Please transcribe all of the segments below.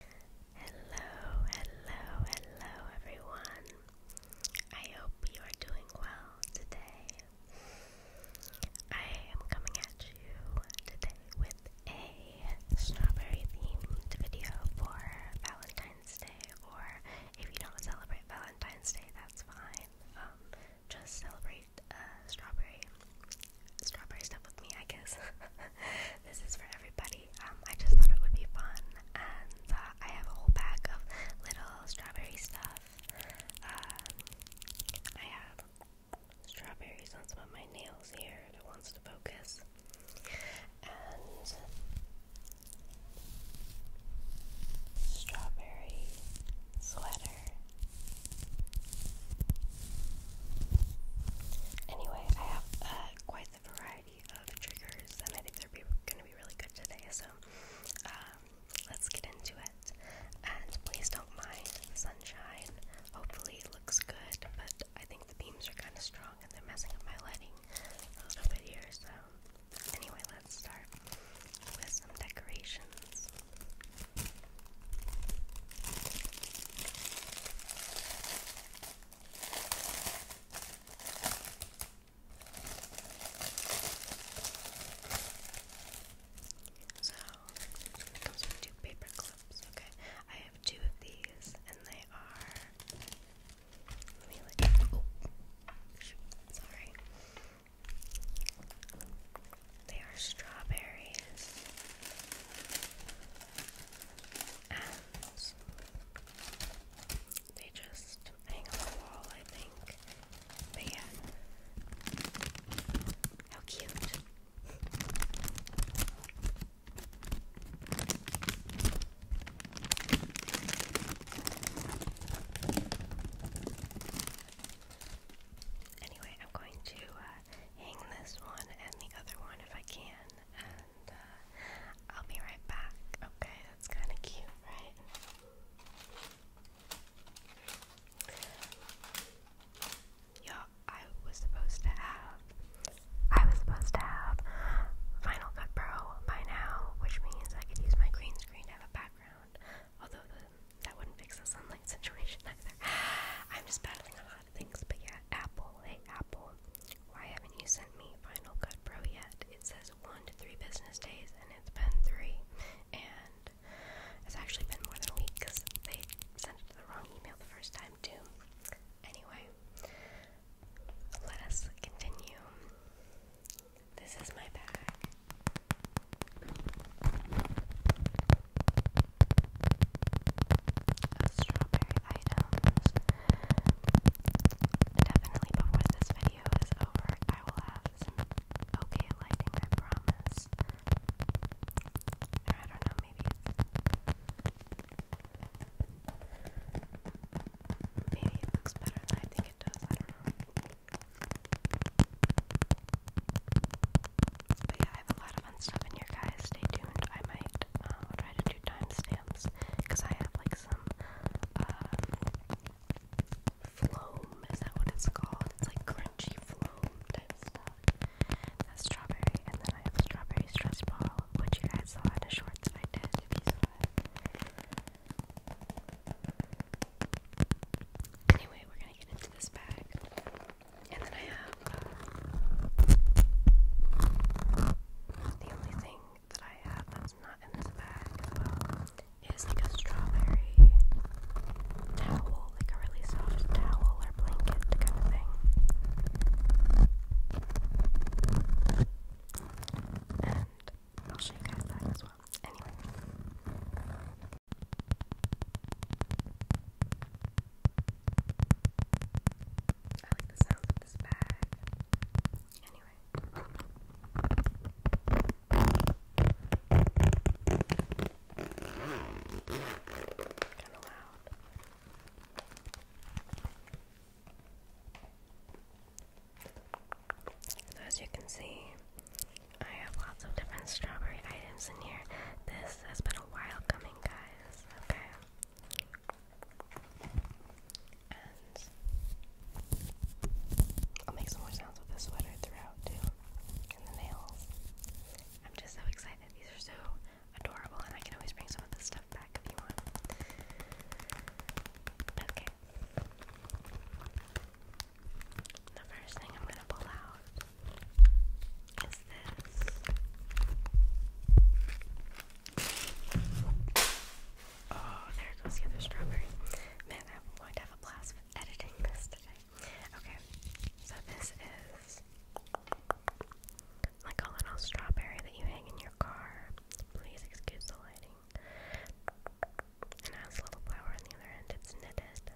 Hello, hello, hello everyone. I hope you are doing well today. I am coming at you today with a strawberry themed video for Valentine's Day, or if you don't celebrate Valentine's Day, that's fine. Um, just celebrate uh, strawberry, strawberry stuff with me, I guess. this is for everybody. Um, I just thought it would be fun, and uh, I have a whole bag of little strawberry stuff. Uh, I have strawberries on some of my nails here if it wants to focus. And strawberry sweater. Anyway, I have uh, quite variety of triggers, and I think are going to be really good today. So um, let's get into it. And please don't mind the sunshine. Hopefully looks good, but I think the beams are kind of strong and they're messing up my lighting a little bit here. So anyway, let's start with some decorations. So it comes with two paper clips, okay? I have two of these and they are oh sorry. They are strawberries they just hang on the wall, I think. But yeah, how cute. Anyway, I'm going to uh, hang this one and the other one if I can, uh, uh, I'll be right back. Okay, that's kind of cute, right? Yo, I was supposed to have, I was supposed to have Final Cut Pro by now, which means I could use my green screen to have a background. Although that wouldn't fix the sunlight situation either. I'm just battling a lot lot of things, but yeah, Apple. Hey, Apple, why haven't you sent me Final Cut Pro yet? It says one to three business days, and it's been three, and it's actually been more than a week because they sent it to the wrong email the first time, too. Anyway, let us continue. This is my bag of strawberry items. Definitely before this video is over, I will have some okay lighting, I promise. I don't know, maybe maybe it looks better I think it does, I don't know. But yeah, I have a lot of fun stuff in here, guys. Stay tuned. I might I'll try to do timestamps because I have like some um, is that what it's called? It's like crunchy floam type stuff. That's strawberry, and then I have strawberry stress ball, which you guys saw in a short that I did Anyway, we're gonna get into this bag. And then I have uh, the only thing that I have that's not in this bag is like a strawberry towel, like a really soft towel or blanket kind of thing. And I'll show you guys that as well. Anyway. I the sound of this bag. Anyway. Kinda loud. So as you can see, I have lots of different strawberry items in here. This has been a while coming, guys. Okay. I'll make some more sounds with the sweater throughout too. And the nails. I'm just so excited. These are so adorable and I can always bring some of this stuff back if you want. Okay. The first thing I'm gonna pull out is this? Oh, there goes the strawberry. Man, I'm have a blast editing this today. Okay, so this is like a little strawberry that you hang in your car. Please excuse the lighting. And has a little flower on the other end. It's knitted.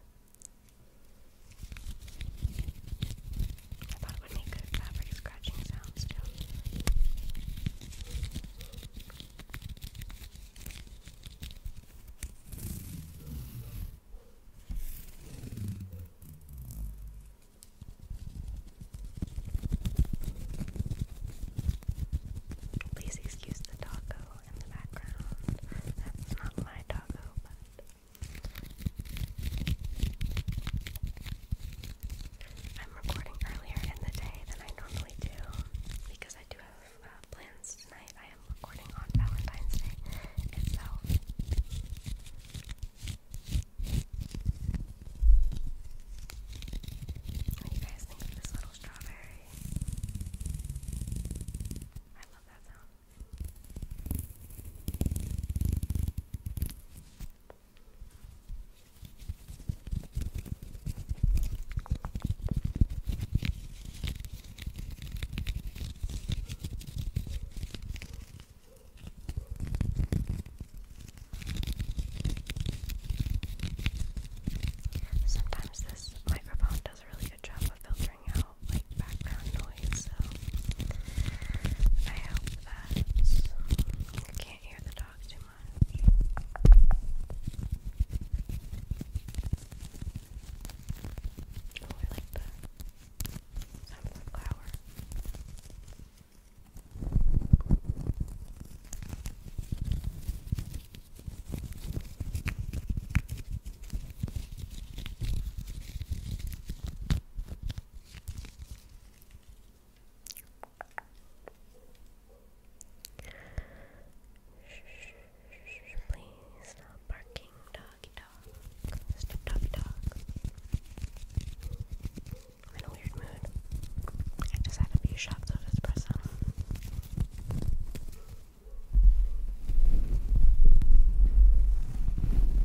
I thought it would make good fabric scratching sounds Please excuse the doggo in the background. That's not my doggo, but I'm recording earlier in the day than I normally do because I do have uh, plans tonight. I am recording on Valentine's Day itself. What do you guys think of this little strawberry? I love that sound. Sometimes this microphone does a really good job of filtering out like background noise, so I hope that you can't hear the dog too much. Oh, like the sound Please stop barking, doggy dog. Stop, doggy dog. I'm in a weird mood. I just had a few shots of espresso.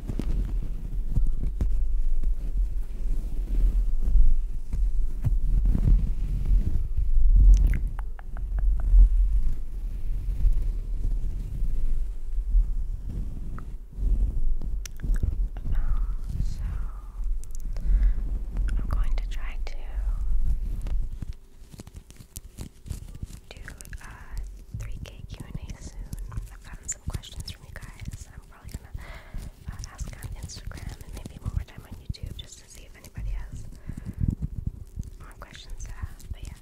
so I'm going to try to do uh, 3 k Q&A soon. I've gotten some questions from you guys. I'm probably gonna uh, ask on Instagram and maybe one more time on YouTube just to see if anybody has more questions to ask. But yeah,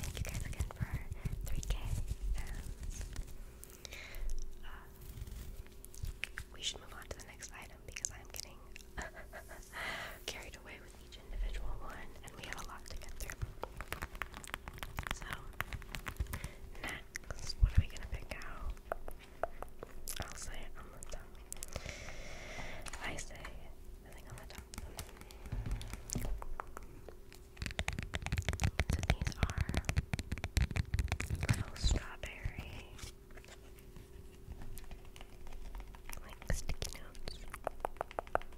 thank you guys again for 3K uh, we should move on to the next item because I'm getting carried away with each individual one, and we have a lot to get through. So, next, what are we gonna pick out? I'll say on the top. I say nothing on the top. these are little strawberry, like sticky notes.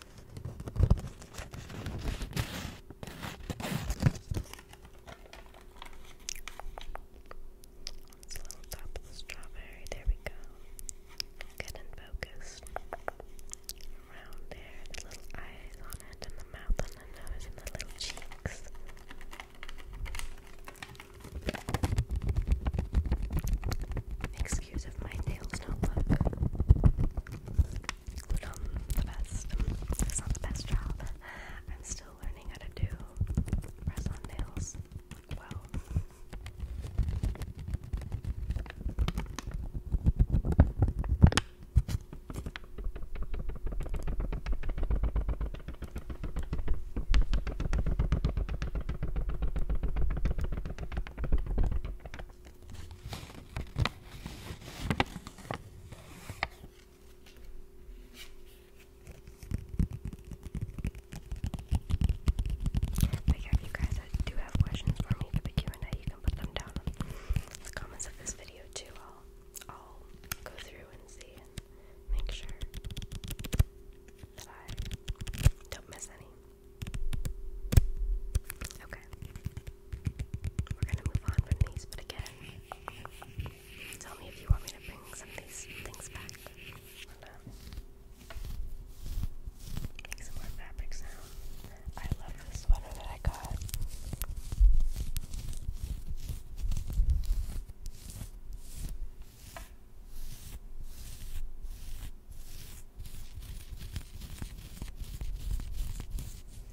It's little top of the strawberry. There we go. Good and focused. Around there, little eyes on and the mouth, and the nose, and the little cheeks. Makes excuse if my nails don't um, the best. Um, it's not the best job. I'm still learning how to do press on nails well. But if you guys do have questions for me for the Q&A, you can put them down in the comments of this video too. I'll, I'll go through and see and make sure I don't miss any. Okay. We're gonna move on from these, but again, tell me if you want me to bring some of these things back. make some more fabric sound. I love the sweater that I got.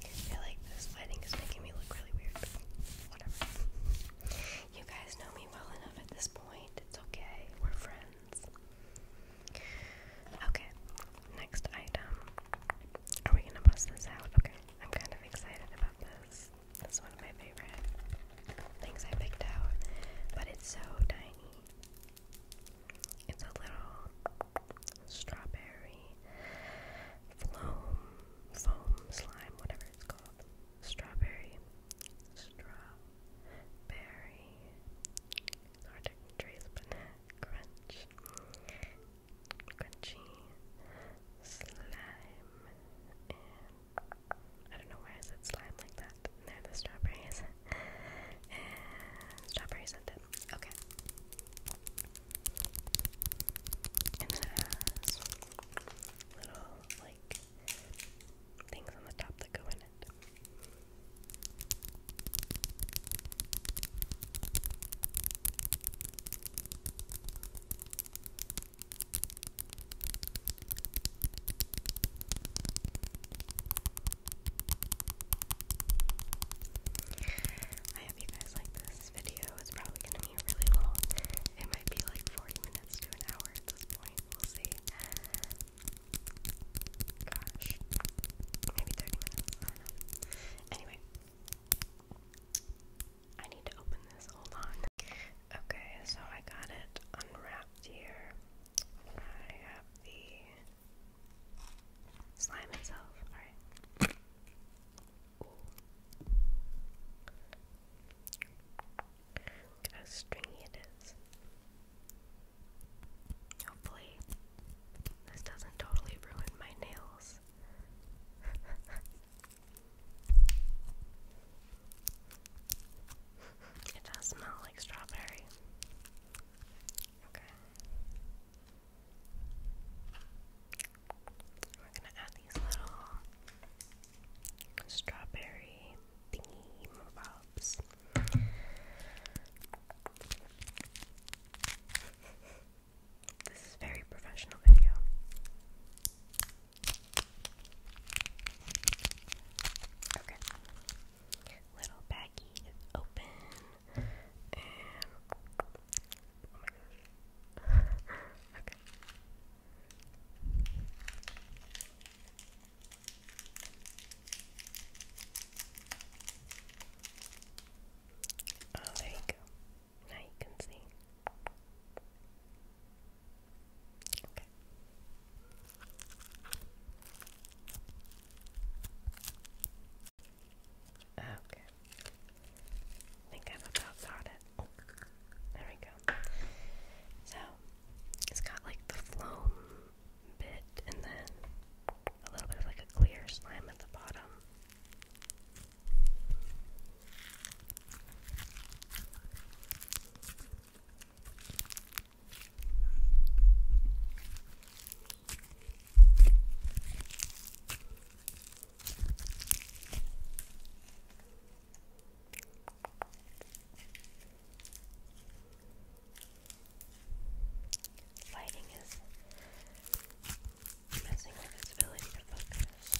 I like this lighting is making me look really weird, whatever. you guys know me well enough at this point. It's okay. We're friends. Okay, next item. Are we gonna bust this out? Okay, I'm kind of excited about this. This is one of my favorite things I picked out, but it's so tiny. It's a little strawberry foam, foam slime, whatever it's called. Strawberry, strawberry. It's hard to trace, but crunch, crunchy slime, and I don't know why I said slime like that left. are the strawberries. strawberries at it. Okay. And it has little like things on the top that go in it. I hope you guys like this video. It's probably gonna be really long. It might be like 40 minutes to an hour at this point. We'll see. Gosh. Maybe 30 minutes. I don't know. Anyway. I need to open this. Hold on. Okay, so I got it unwrapped left I have the slime itself. Alright. Look how stringy it is. Hopefully, this doesn't totally ruin my nails. It does smell like strawberry. Okay. We're gonna add these little strawberry thingy bobs. This is very professional video. Okay little baggy is open, okay. Oh, there you go. Now you can see. Okay. Okay. I think I've about thought it. there we go. So, it's got like the foam bit and then a little bit of like a clear slime at the bottom. Lighting is messing with its ability to focus.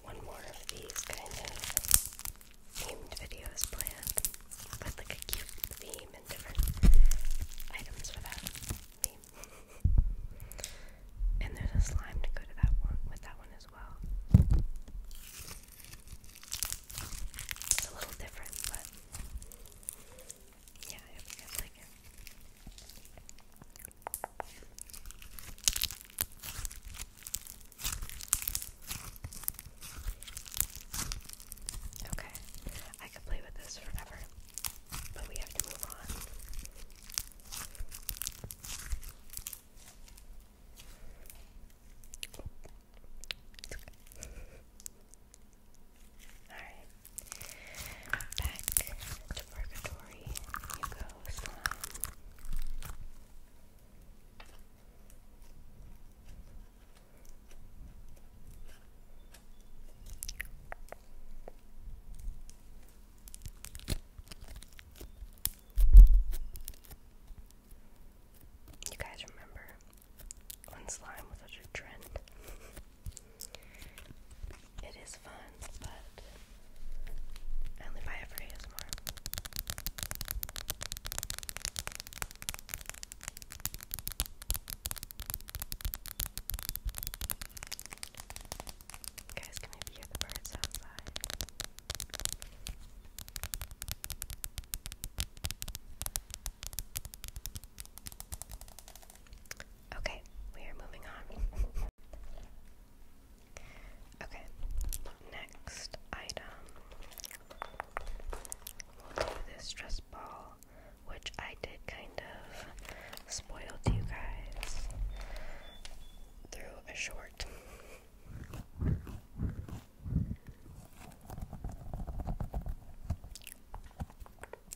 one more of these kind of themed videos planned with like a cute theme and different items for that theme. and there's a slime to go to that one with that one as well. It's a little different, but yeah, I hope you guys like it. Okay, I could play with this forever, but we have to move on. Alright. Back to Purgatory. You go, slime. You guys remember slime was such a trend? it is fun, but you guys can hear the birds outside. Okay, we are moving on. Okay, next item. this stress ball, which I did kind of spoil to you guys through a short.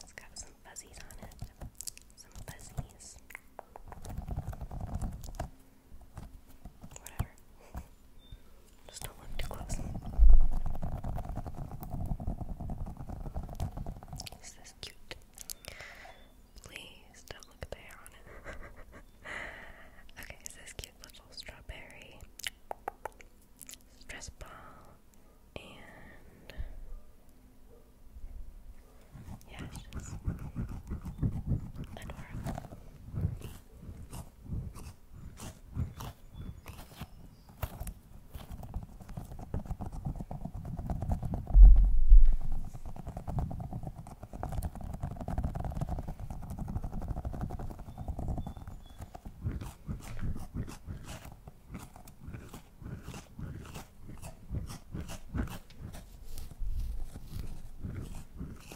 It's got some fuzzies on it. Some fuzzies. Whatever. Just don't look too close. Is this cute? Please don't look there on it. okay, is this cute little strawberry stress ball and yeah, she's adorable.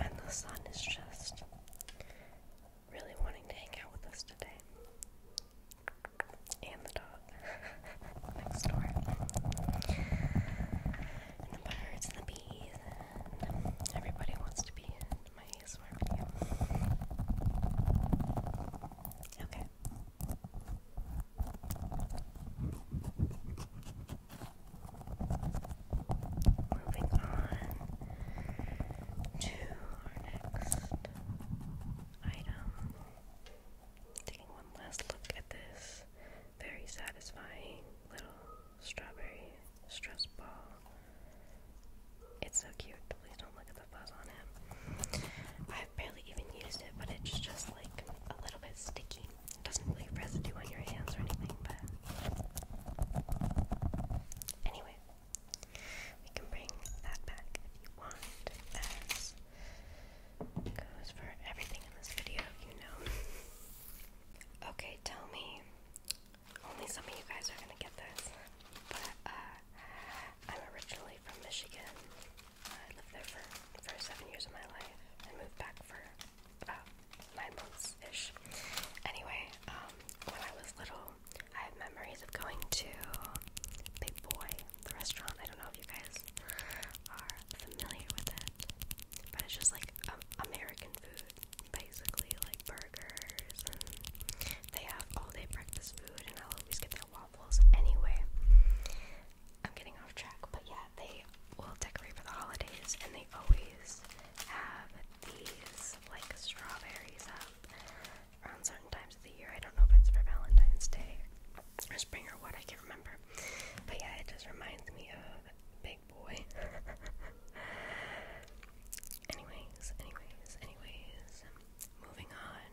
And the sun is just really wanting to hang out with us today. And the dog next door. And the birds and the bees and everybody wants to be in my ASMR video. Okay. Moving on to our next item. Taking one last look at this very satisfying little strawberry stress ball. It's so cute. Please don't look at the fuzz on it i barely even used it, but it's just like a little bit sticky. doesn't really residue on your hands or anything, but anyway, we can bring that back if you want. goes for everything in this video, you know. okay, tell me. Only some of you guys are gonna get this, but uh, I'm originally from Michigan, I lived there for the first seven years of my life and moved back for about nine months ish. Anyway, um, when I was little, I have memories of going to Big Boy, the restaurant. I don't know if you guys are familiar with it, but it's just like um, American food, basically, like burgers, and they have all day breakfast food, and I'll always get their waffles anyway. I'm getting off track, but yeah, they will decorate for the holidays and they always have these like strawberries up around certain times of the year. I don't know if it's for Valentine's Day or spring or what, I can't remember. But yeah, it just reminds me of Big Boy. anyways, anyways, anyways, moving on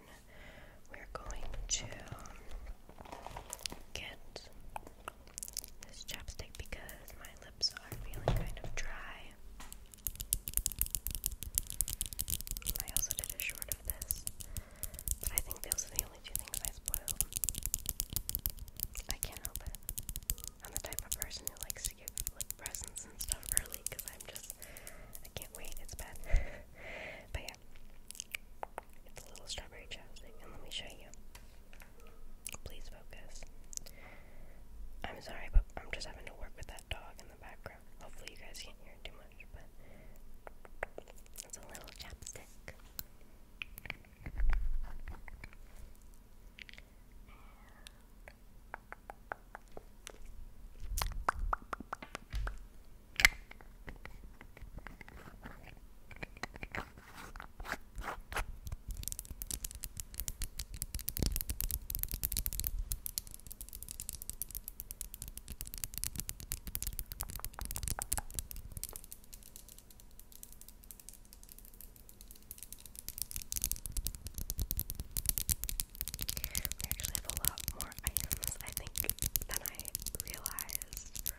we're going to get this chapstick because my lips are feeling kind of dry. I also did a short of this, but I think those are the only two things I spoiled. I can't help it. I'm the type of person who likes to give like presents and stuff early because I'm just I can't wait. It's bad. But yeah, it's a little strawberry chapstick, and let me show you. Please focus. I'm sorry, but I'm just having to work with that dog in the background. Hopefully, you guys can't hear too much, it's a little chapstick. We actually have a lot more items, I think, than I realized. Oh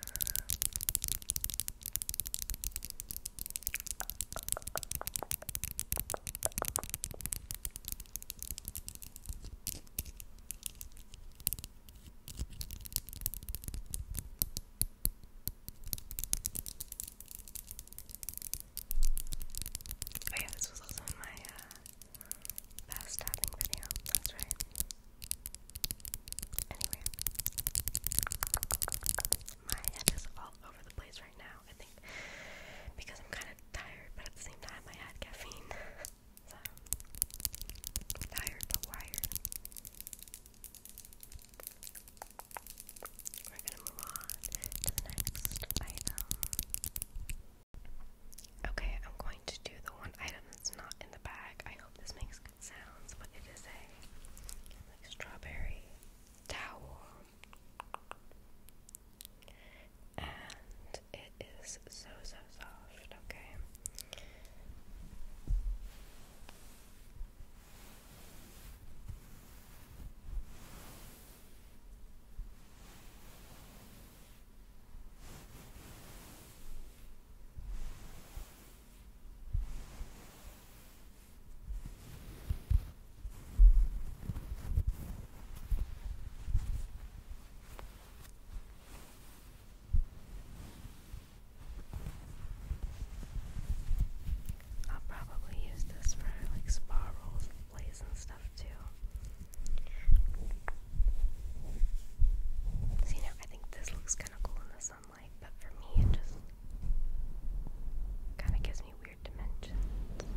yeah, this was also in my uh fast tapping video. That's right. Anyway, my head is all over the place right now. I think because I'm kind of tired, but at the same time I had caffeine, so tired but wired. We're gonna move on to the next item. Okay, I'm going to do the one item it's not in the bag. I hope this makes good sounds, but it is a like strawberry towel. And it is so so soft, Okay, I'll probably use this for like spa rolls and and stuff too. See, now I think this looks kind of cool in the sunlight, but for me, it just kind of gives me weird dimensions. I think.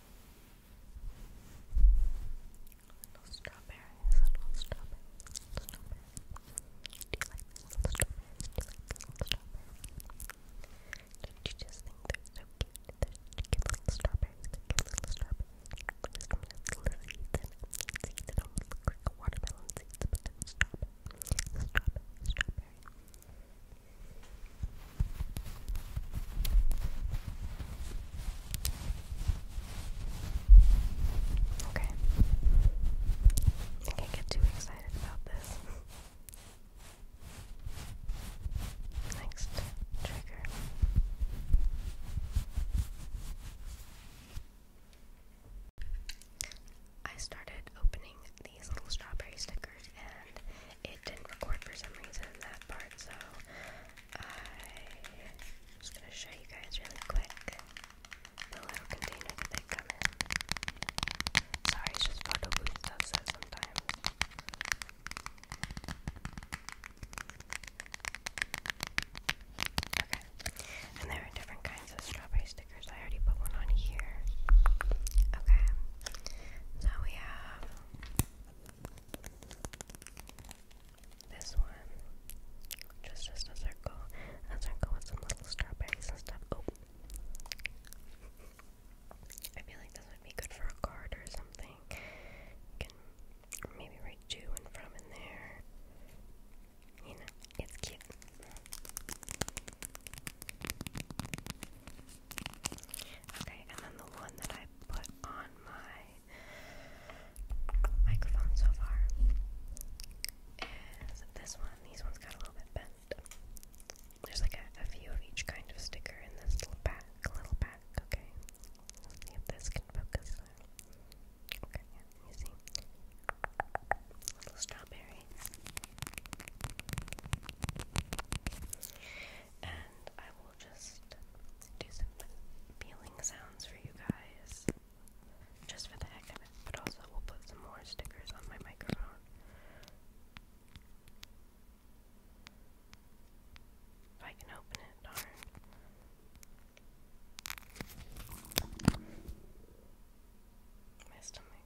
Little strawberries, little strawberries, little strawberries. Do you like little strawberries? Do you like little strawberries? do you just think they're so cute? They're cute little strawberries, they're cute little strawberries. little seeds in it. Seeds that almost look watermelon seeds, but they're strawberry. Strawberry, Okay. I can't get too excited about this. Next trigger. I started opening these little strawberry stickers and it didn't record for some reason that part, so I'm just gonna show you guys really quick the little container they come in. Sorry, just photo booth stuff so sometimes. Okay. And there are different kinds of strawberry stickers. I already put one on here. Okay. So we have this one, just just a circle, a circle with some little strawberries and stuff. Oh. I feel like this would be good for a card or something. maybe write to and from in there. You know, it's cute. Okay, and then the one that I put on my microphone so far is this one. These ones got a little bit bent. There's like a, few of each kind of sticker in this little pack, little pack, okay? see if this can focus. Okay, yeah, you see. Little strawberry and I will just do some peeling sounds for you guys just for the heck of it, but also we'll put some more stickers on my microphone. If I can open it, My stomach.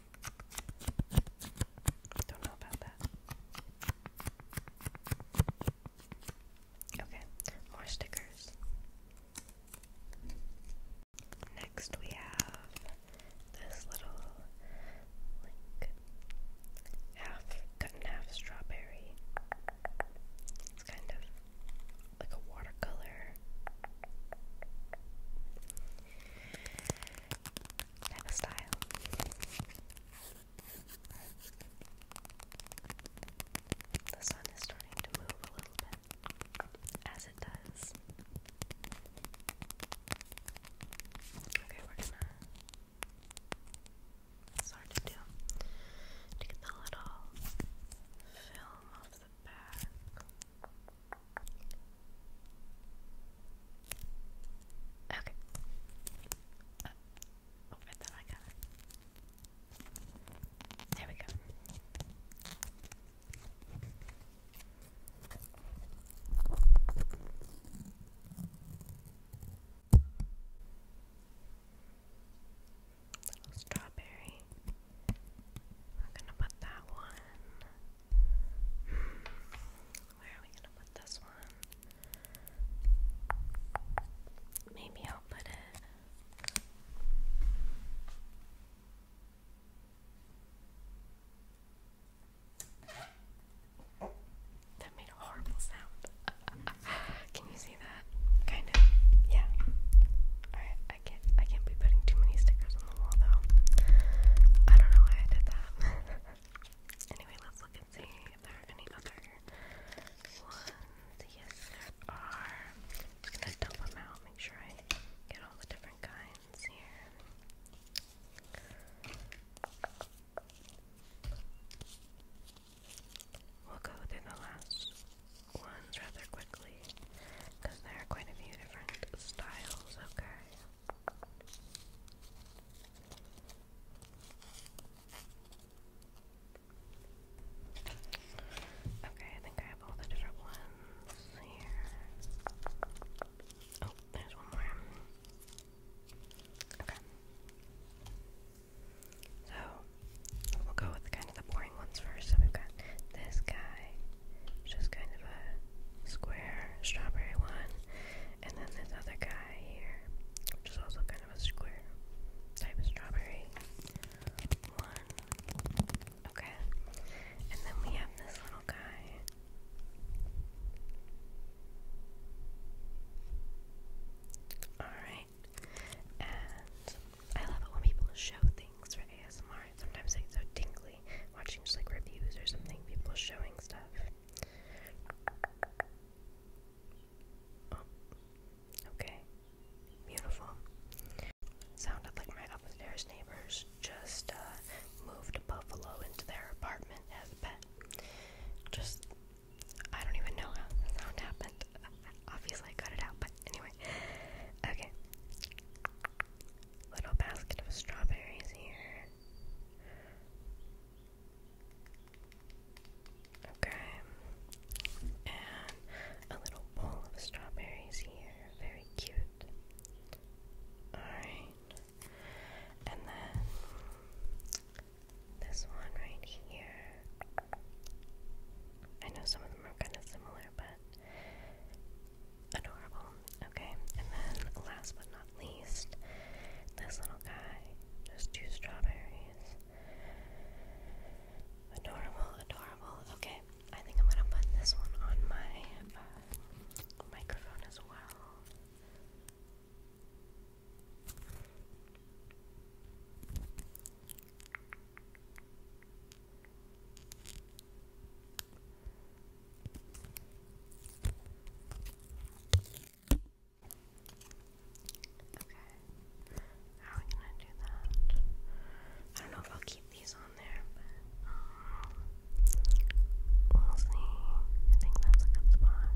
Don't know about that. Okay, more stickers. Next, we have this little half cut in half strawberry. It's kind of like a watercolor. The sun is starting to move a little bit, as it does. Okay, we're gonna. It's to do. To the little film off the back. Okay. Uh, oh, I thought I got it. There we go. Little strawberry. I'm gonna put that one where are we gonna put this one? Maybe I'll put it. That made a horrible sound. Can you see that? Kind of. Yeah. Alright, I can't I can't be putting too many stickers on the wall though. I don't know why I did that. Anyway, let's look and see if there are any other ones. Yes, there are. just gonna dump them out, make sure I get all the different kinds here. We'll go through the last ones rather quickly because there are quite a few different styles, okay? Okay, I think I have all the different ones here. Oh, there's one more. Okay. So, we'll go with kind of the boring ones first. So, we've got this guy, just kind of a square strawberry one, and then this other guy here, which is also kind of a square type of strawberry one. Okay, and then we have this little guy. Alright, and I love it when people show things for ASMR. Sometimes they get so tingly probably watching just like reviews or something, people showing stuff. Oh, okay, beautiful. Sounded like my upstairs neighbors just uh, moved a buffalo into their apartment as a pet. Just, I don't even know how the sound happened. Obviously, I cut it out, but anyway. Okay. Little basket of strawberries here. Okay. And a little bowl of strawberries here. Very cute. Alright. And then this one right here. I know some of them are kind of similar, but Adorable. Okay, and then last but not least, this little guy. Just two strawberries. Adorable, adorable. Okay, I think I'm gonna put this one on my uh, microphone as well. Okay. How are we gonna do that? I don't know if I'll keep these on there, but um, we'll see. I think that's a good spot.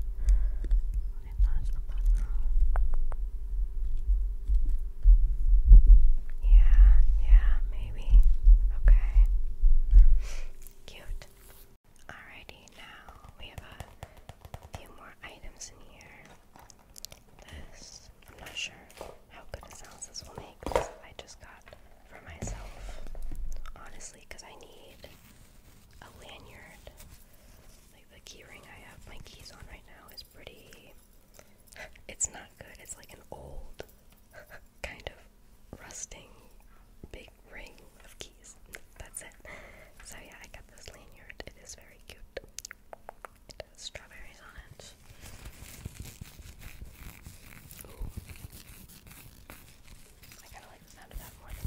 Yeah, yeah, maybe. Okay. Cute. Alrighty, now we have a few more items in here. This, I'm not sure how good it sounds. this will make. I just got for myself, honestly, because I need a lanyard. Like the keyring I have my keys on right now is pretty. It's not good. It's like an old kind of rusting big ring of keys. That's it. So yeah, I got this lanyard. It is very cute. strawberries on it. I kinda like the sound of that more than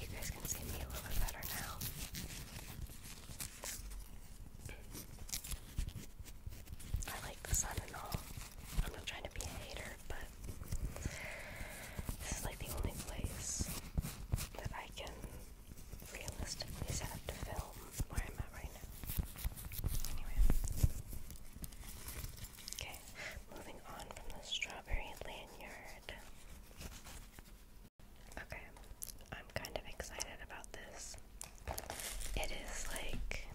You guys can see me a little bit better now. I like the sun and all. I'm not trying to be a hater, but this is like the only place that I can realistically set up to film where I'm at right now. Anyway. Okay, moving on from the strawberry lanyard. Okay, I'm kind of excited about this. It is like,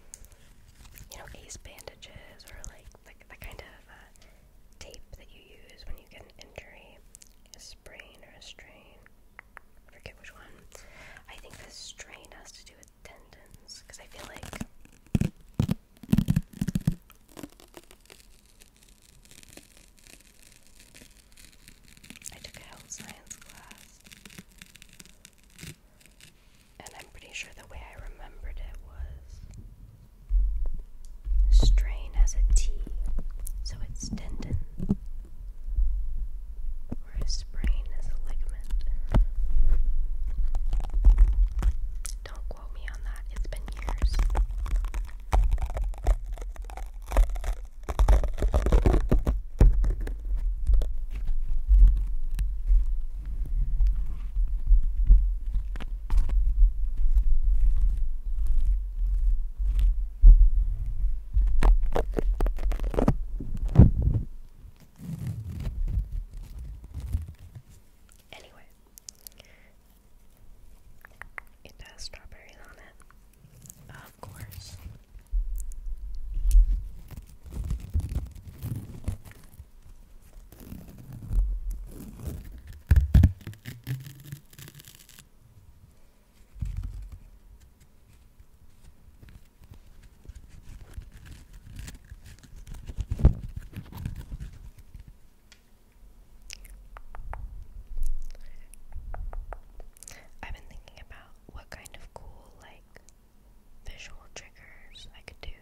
you know, ace bandages or like the, the kind of uh, tape that you use when you get an injury, a sprain or a strain. forget which one. I think this strain has to do with tendons because I feel like I took a health science class, and I'm pretty sure the way I remembered it was strain as a T, so it's tendon, or sprain as a ligament. Don't quote me on that, it's been years. Anyway, it has strawberries on it. Of course. I've been thinking about what kind of cool, like, visual triggers I could do.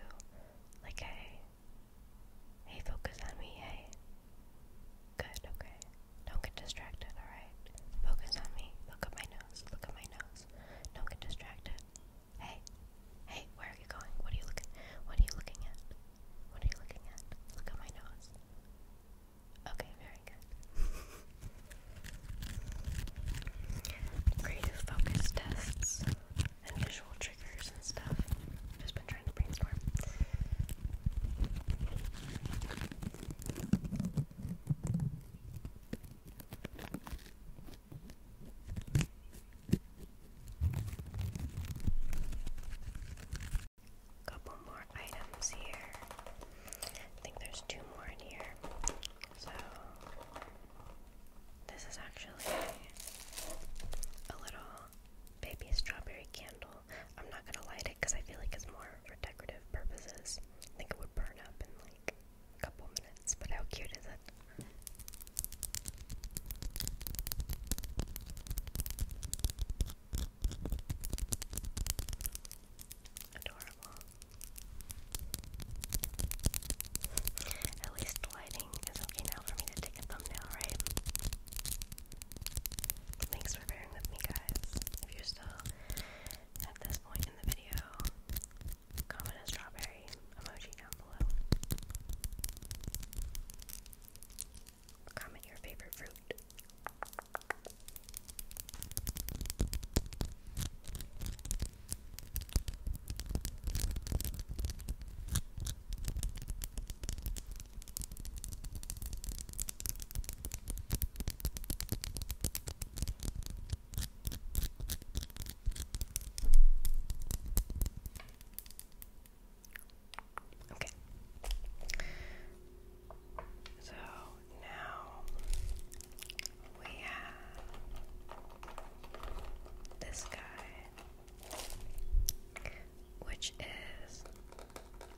Like, hey, hey, focus on me, hey. Good, okay. Don't get distracted, alright? Focus on me. Look at my nose. Look at my nose. Don't get distracted. Hey, hey, where are you going? What are you looking? What are you looking at? What are you looking at? Look at my nose. Okay, very good. Creative focus tests and visual triggers and stuff. Just been trying to brainstorm. Couple more items here. I think there's two more in here. So this is actually a little baby strawberry candle. I'm not gonna light it because I feel like it's more for decorative purposes. I think it would burn up in like a couple minutes but how cute is it? Adorable. At least lighting is okay now for me to take a thumbnail, right? Thanks for bearing with me, guys. If you're still at this point in the video, comment a strawberry emoji down below. Comment your favorite fruit. Okay. So now we have this guy, which is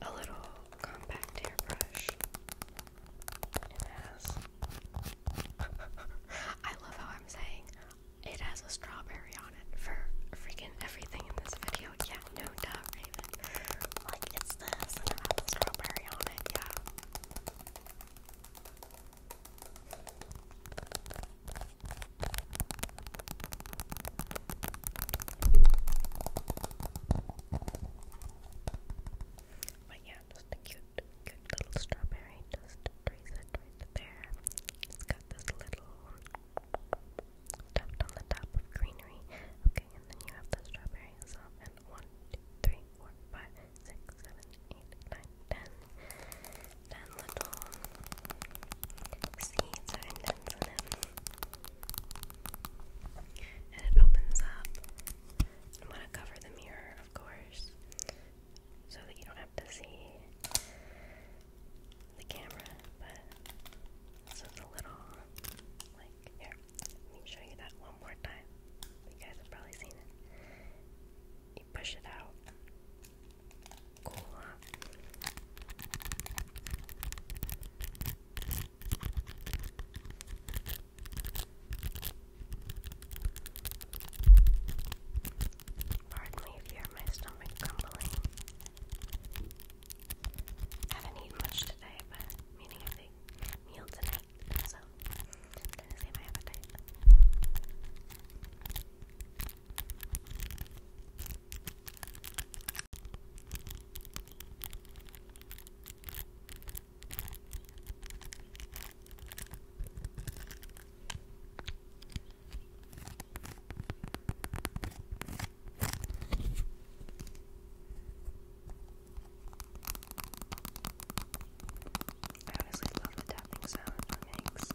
a little compact hairbrush. It has. I love how I'm saying it has a strawberry on it for freaking everything in this video. Yeah, no duh, Like, it's this, and it strawberry on it, yeah. But yeah, just a cute, cute little strawberry. Just it there. It's got this little tuft on the top of greenery. Okay, and then you have the strawberry itself. And one, two, three, four, five, six, seven, eight, nine, ten. Ten little seeds are indents in it. And it opens up. I'm gonna cover the mirror, of course so that you don't have to see the camera, but it's a little like here. Let me show you that one more time. You guys have probably seen it. You push it out, cool Pardon me if you hear my stomach grumbling. I haven't eaten much today, but meaning a big meal tonight, so I'm trying to save my appetite. I honestly love the tapping sound it makes.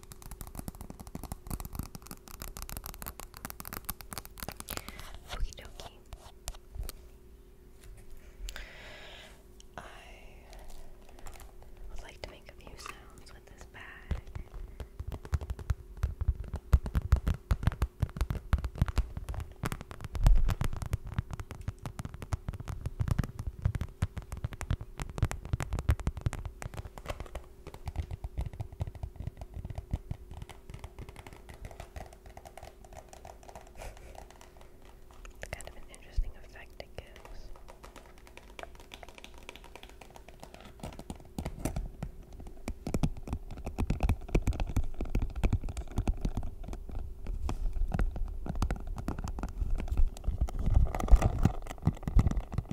Okie dokie. I would like to make a few sounds with this bag it's kind of an interesting effect it gives.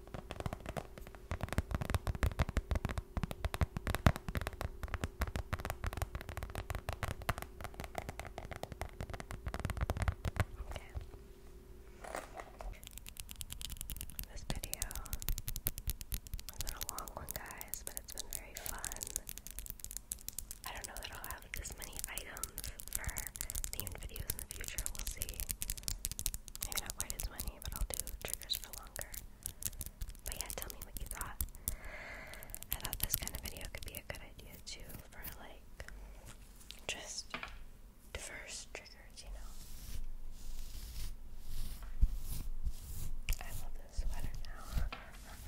This video has been a long one, guys, but it's been very fun. I don't know that I'll have this many items for themed videos future, we'll see. Maybe not quite as many, but I'll do triggers for longer. But yeah, tell me what you thought. I thought this kind of video could be a good idea too for like just diverse triggers, you know. I love this sweater now.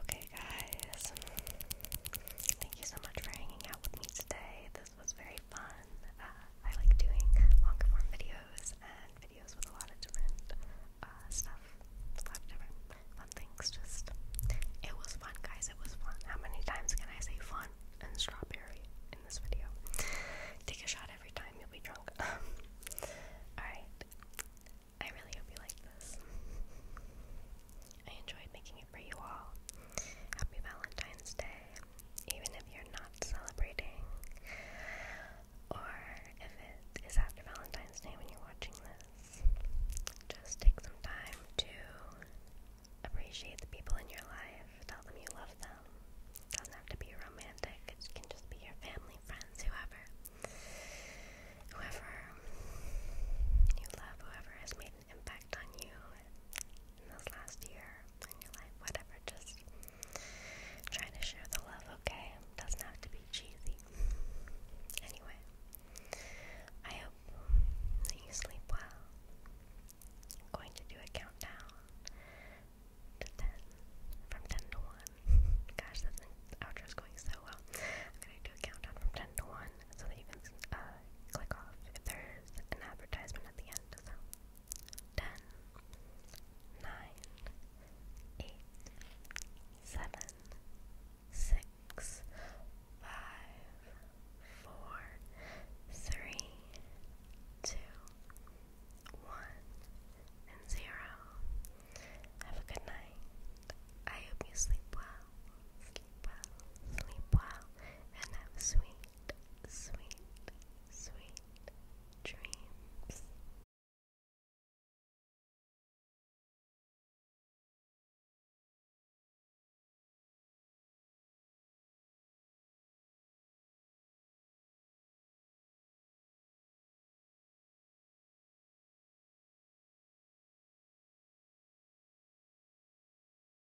Okay, guys, thank you so much for hanging out with me today was very fun. Uh, I like doing longer form videos and videos with a lot of different uh, stuff, different fun things. Just it was fun, guys. It was fun. How many times can I say fun and strawberry in this video? Take a shot every time, you'll be drunk. Alright. I really hope you liked this. I enjoyed making it for you all. Happy Valentine's Day even if you're not celebrating, or if it is after Valentine's Day when you're watching this, just take some time to appreciate the people in your life, tell them you love them. It doesn't have to be romantic, it can just be your family, friends, whoever. Whoever you love, whoever has made an impact on you in this last year in your life, whatever. Just try to share the love, okay? doesn't have to be cheesy. Anyway, I hope that you sleep well. going to do a countdown to 10, from 10 to 1. Gosh, this outro is going so well. I'm going to do a countdown from 10 to 1 so that you can uh, click off if there's an advertisement at the end. and 0. Have a good night. I hope you sleep well, sleep well, sleep well, and have a sweet sweet, sweet dreams.